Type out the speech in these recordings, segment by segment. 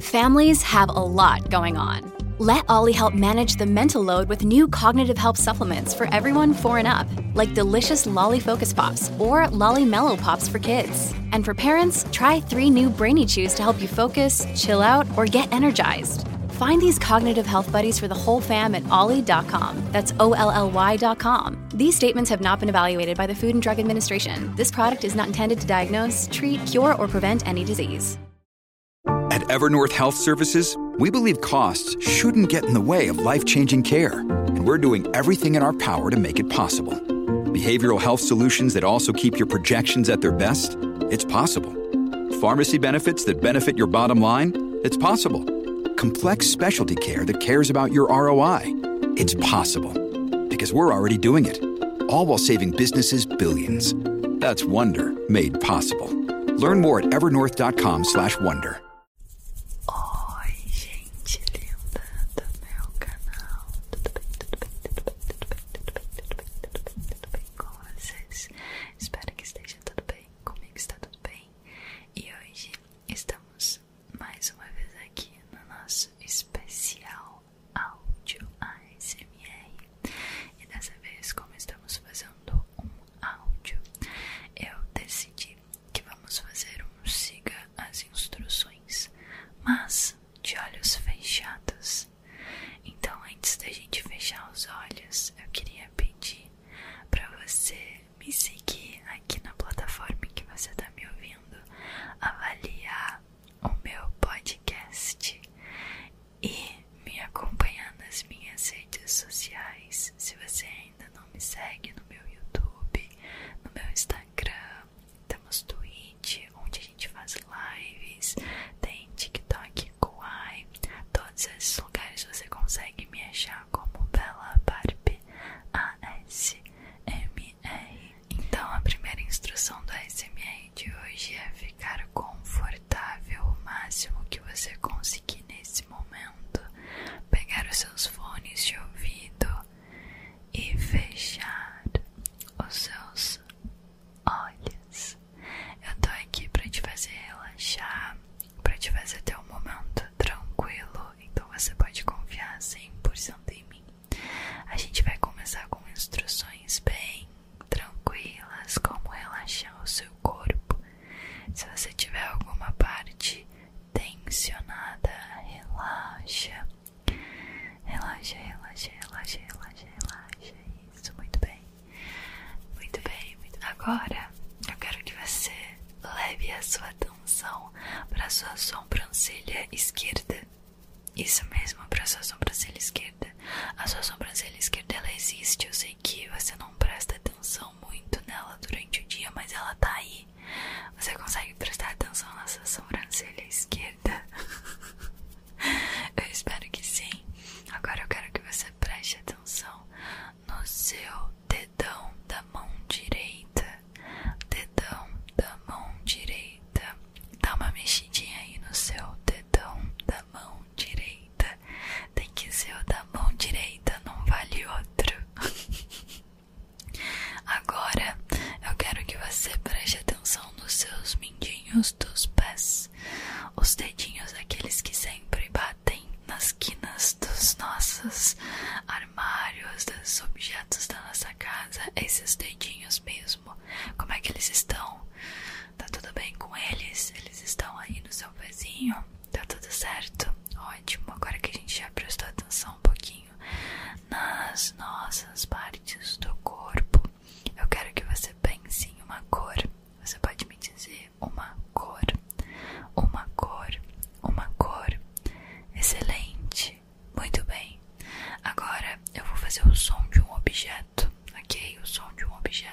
Families have a lot going on. Let Ollie help manage the mental load with new cognitive health supplements for everyone for and up, like delicious Lolly Focus Pops or Lolly Mellow Pops for kids. And for parents, try three new Brainy Chews to help you focus, chill out, or get energized. Find these cognitive health buddies for the whole fam at ollie.com. That's O L L Y.com. These statements have not been evaluated by the Food and Drug Administration. This product is not intended to diagnose, treat, cure, or prevent any disease. At Evernorth Health Services, we believe costs shouldn't get in the way of life changing care, and we're doing everything in our power to make it possible. Behavioral health solutions that also keep your projections at their best? It's possible. Pharmacy benefits that benefit your bottom line? It's possible. Complex specialty care that cares about your ROI? It's possible. Because we're already doing it all while saving businesses billions. That's Wonder made possible. Learn more at evernorth.com/wonder. Oi, gente linda do meu canal. Tudo bem, tudo bem, tudo bem, tudo bem, tudo bem, tudo bem, tudo bem, tudo bem com vocês? Espero que esteja tudo bem. Comigo está tudo bem. E hoje estamos mais uma vez aqui no nosso especial áudio ASMR e dessa vez como estamos fazendo um áudio eu decidi que vamos fazer um siga as instruções mas de olhos fechados então antes da gente fechar os olhos eu queria pedir para você me seguir aqui na plataforma em que você está me ouvindo avaliar o meu podcast e me acompanhar nas minhas redes sociais. Se você ainda não me segue no meu YouTube, no meu Instagram, temos Twitch, onde a gente faz lives, tem TikTok, Kuai, todos esses lugares você consegue me achar como Bela Barbie ASMR. É, então, a primeira instrução do S.M.A. de hoje é ficar confortável o máximo que você conseguir nesse momento. Pegar os seus fones de ouvido e fechar os seus olhos. Eu tô aqui para te fazer relaxar, para te fazer ter um momento tranquilo, então você pode confiar 100% em mim. A gente vai começar com instruções bem tranquilas, como relaxar o seu corpo. Se você tiver alguma parte tensionada, relaxa. Relaxa, relaxa, relaxa, relaxa, relaxa. Isso, muito bem. Muito bem, muito Agora eu quero que você leve a sua atenção para sua sobrancelha esquerda. Isso mesmo, para sua sobrancelha esquerda. A sua sobrancelha esquerda ela existe. Eu sei que você não presta atenção muito nela durante o dia, mas ela está aí. Você consegue prestar atenção na sua sobrancelha esquerda? eu espero que sim. Agora eu quero que você preste atenção no seu dedão da mão direita. Dedão da mão direita dá uma mexidinha aí no seu dedão da mão direita. Tem que ser o da mão direita, não vale outro. Agora eu quero que você preste atenção nos seus mindinhos dos pés, os dedinhos, aqueles que sempre batem nas quinas dos nossos armários, dos objetos da nossa casa, esses dedinhos mesmo. Como é que eles estão? Tá tudo bem com eles? Eles estão aí no seu pezinho? Tá tudo certo? Ótimo. Agora que a gente já prestou atenção um pouquinho nas nossas partes do corpo, eu quero que você pense em uma cor. Você pode me dizer uma cor, uma cor, uma cor. Excelente. Muito bem. Agora eu vou fazer o som de um objeto, ok? O som de um objeto.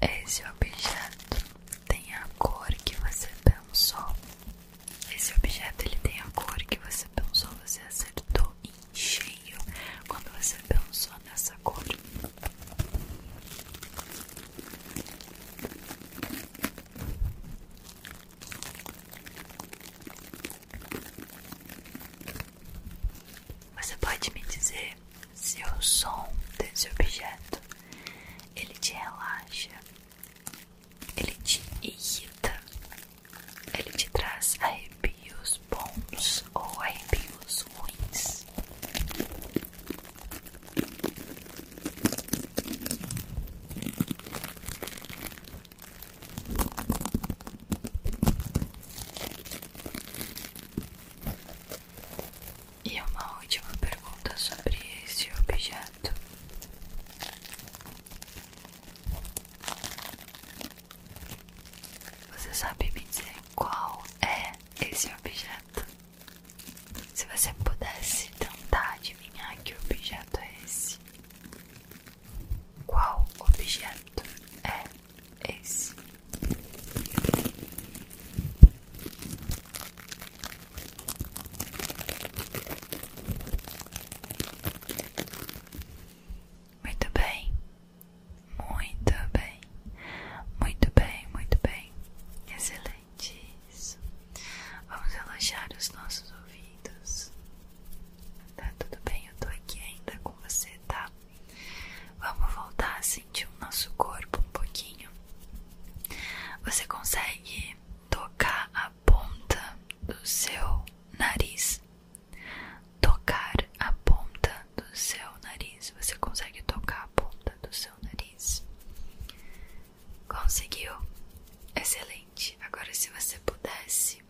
Esse objeto tem a cor que você pensou. Esse objeto ele tem a cor que você pensou, você acertou em cheio quando você pensou nessa cor. Você pode me dizer se o som desse objeto ele te relaxa, ele te irrita, ele te traz arrepios bons ou arrepios ruins? E é uma última pergunta sobre esse objeto. Você sabe me dizer qual é esse objeto? Se você pudesse tentar adivinhar que objeto é esse, qual objeto é esse? Muito bem, muito bem, muito bem, muito bem, excelente isso. Vamos relaxar os nossos ouvidos. Tá tudo bem, eu tô aqui ainda com você, tá? Vamos voltar a sentir o nosso corpo um pouquinho. Você consegue tocar a ponta do seu nariz? Tocar a ponta do seu nariz. Você consegue tocar a ponta do seu nariz? Conseguiu? Excelente. Agora, se você pudesse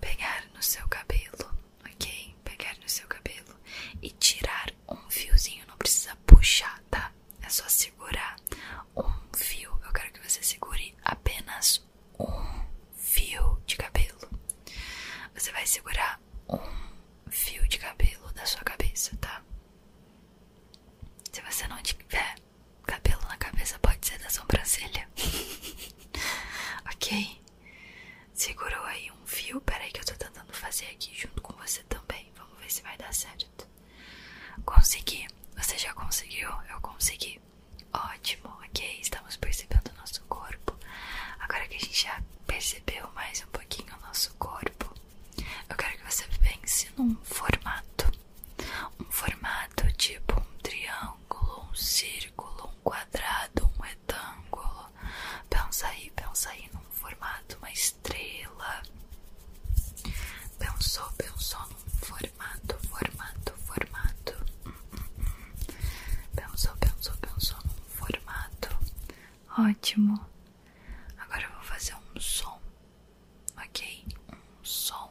pegar no seu cabelo, ok? Pegar no seu cabelo e tirar um fiozinho, não precisa puxar, tá? É só segurar um fio. Eu quero que você segure apenas um fio de cabelo. Você vai segurar um fio de cabelo da sua cabeça, tá? Se você não tiver cabelo na cabeça pode ser da sobrancelha. ok? Segurou aí um fio. Peraí, que eu tô tentando fazer aqui junto com você também. Vamos ver se vai dar certo. Consegui. Você já conseguiu? Eu consegui. Ótimo, ok. Estamos percebendo o nosso corpo. Agora que a gente já percebeu mais um pouquinho o nosso corpo, eu quero que você pense num formato um formato tipo um triângulo, um círculo, um quadrado, um retângulo. Pensa aí, pensa aí num formato, uma estrela. Pensou, pensou num formato, formato, formato. Pensou, pensou, pensou num formato. Ótimo. Agora eu vou fazer um som, ok? Um som.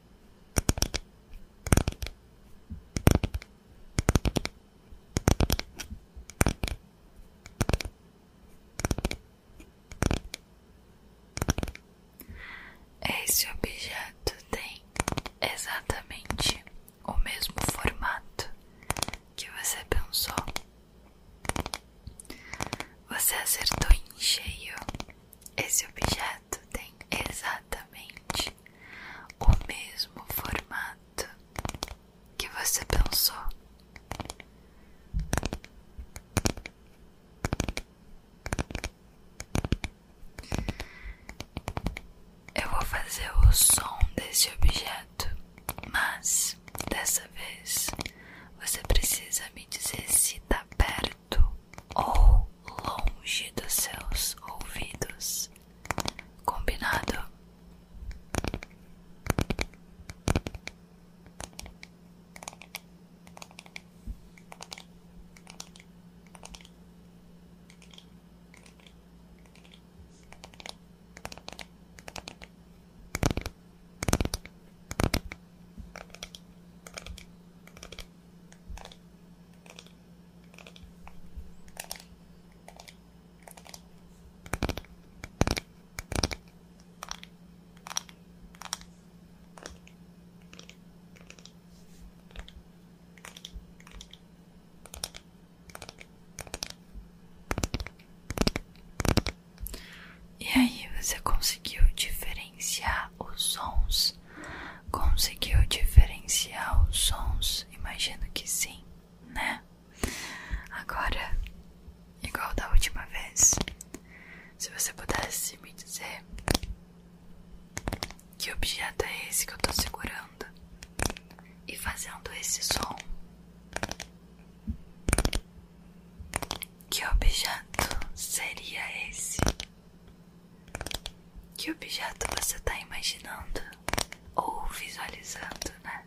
Esse objeto tem exatamente o mesmo formato que você pensou. Você acertou em cheio. Esse objeto tem exatamente o mesmo formato que você pensou. Eu vou fazer o som desse objeto, mas dessa vez você precisa me dizer se tá perto ou longe dos seus ouvidos. Combinado? E aí, você conseguiu diferenciar os sons Conseguiu diferenciar os sons? Imagino que sim, né? Agora, igual da última vez, se você pudesse me dizer que objeto é esse que eu tô segurando e fazendo esse som, que objeto seria esse? Que objeto você está imaginando ou visualizando, né?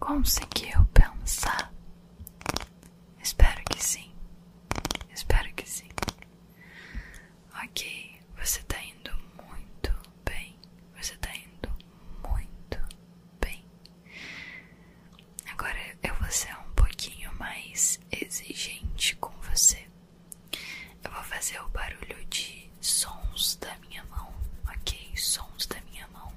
Conseguiu pensar? Espero que sim. Espero que sim. Ok, você tá indo muito bem. Você tá indo muito bem. Agora eu vou ser um pouquinho mais exigente com você. Eu vou fazer o barulho de sons da minha mão, ok? Sons da minha mão.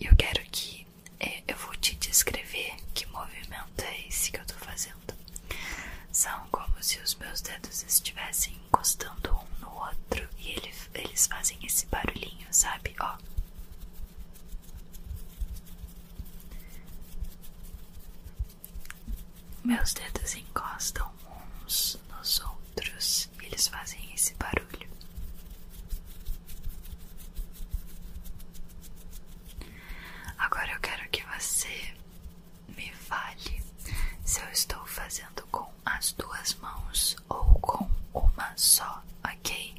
eu quero que é, eu vou te descrever que movimento é esse que eu tô fazendo. São como se os meus dedos estivessem encostando um no outro e ele, eles fazem esse barulhinho, sabe? Ó. Meus dedos encostam uns nos outros eles, fazem esse barulho. Agora eu quero que você me fale se eu estou fazendo com as duas mãos ou com uma só, ok?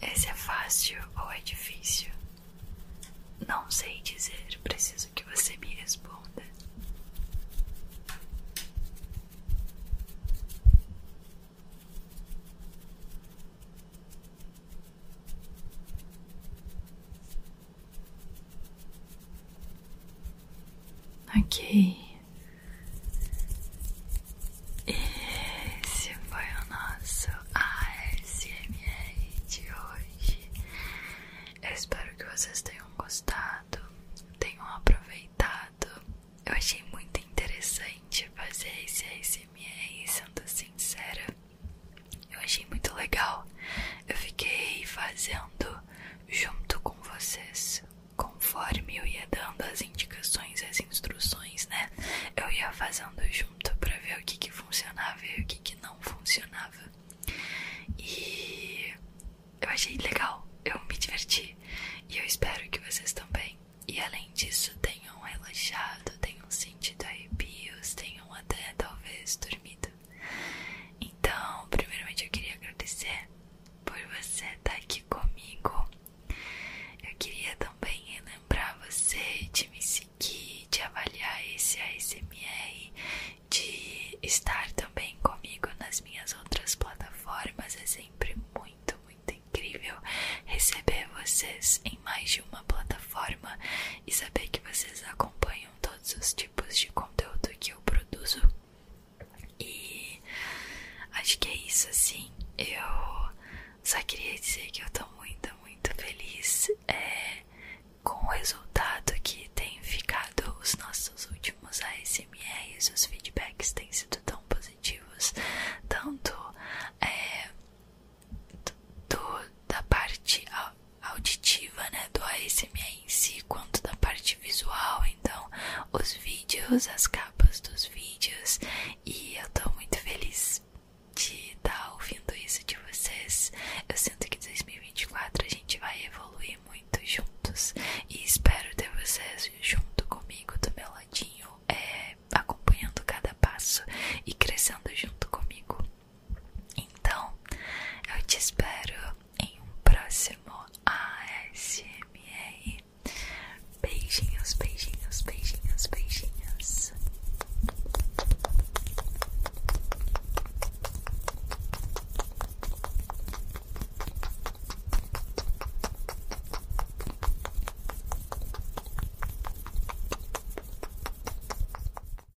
Esse é fácil ou é difícil? Não sei dizer, preciso que você me responda. Ok. Esse foi o nosso ASMR de hoje. Eu espero que vocês tenham gostado, tenham aproveitado. Eu achei muito interessante fazer esse ASMR, sendo sincera. Eu achei muito legal. Eu fiquei fazendo junto com vocês, conforme eu ia dando as indicações, as instruções, né? Eu ia fazendo junto para ver o que que funcionava e o que que não funcionava. E eu achei legal, eu me diverti e eu espero que vocês também. E além disso, tenham relaxado, tenham sentido arrepios, tenham até talvez dormido. Então, primeiramente eu queria agradecer por você estar aqui comigo. Eu queria também lembrar você de me seguir, de avaliar esse ASMR, de estar também comigo nas minhas outras plataformas. É sempre muito, muito incrível receber vocês em mais de uma plataforma e saber que vocês acompanham todos os tipos de conteúdo que eu produzo. E acho que é isso assim. Eu só queria dizer que eu tô muito, muito feliz é, com o resultado que tem ficado os nossos últimos ASMRs, os feedbacks têm sido tão positivos, tanto é, do, da parte auditiva, né, do ASMR em si, quanto da parte visual, então os vídeos, as capas dos vídeos, e eu tô muito feliz de estar tá ouvindo isso de vocês. Eu sinto que 2024 a gente vai evoluir muito juntos e espero ter vocês junto comigo, do meu ladinho, é, acompanhando cada passo e crescendo junto comigo. Então, eu te espero em um próximo ASMR. Beijinhos, beijinhos, beijinhos, beijinhos.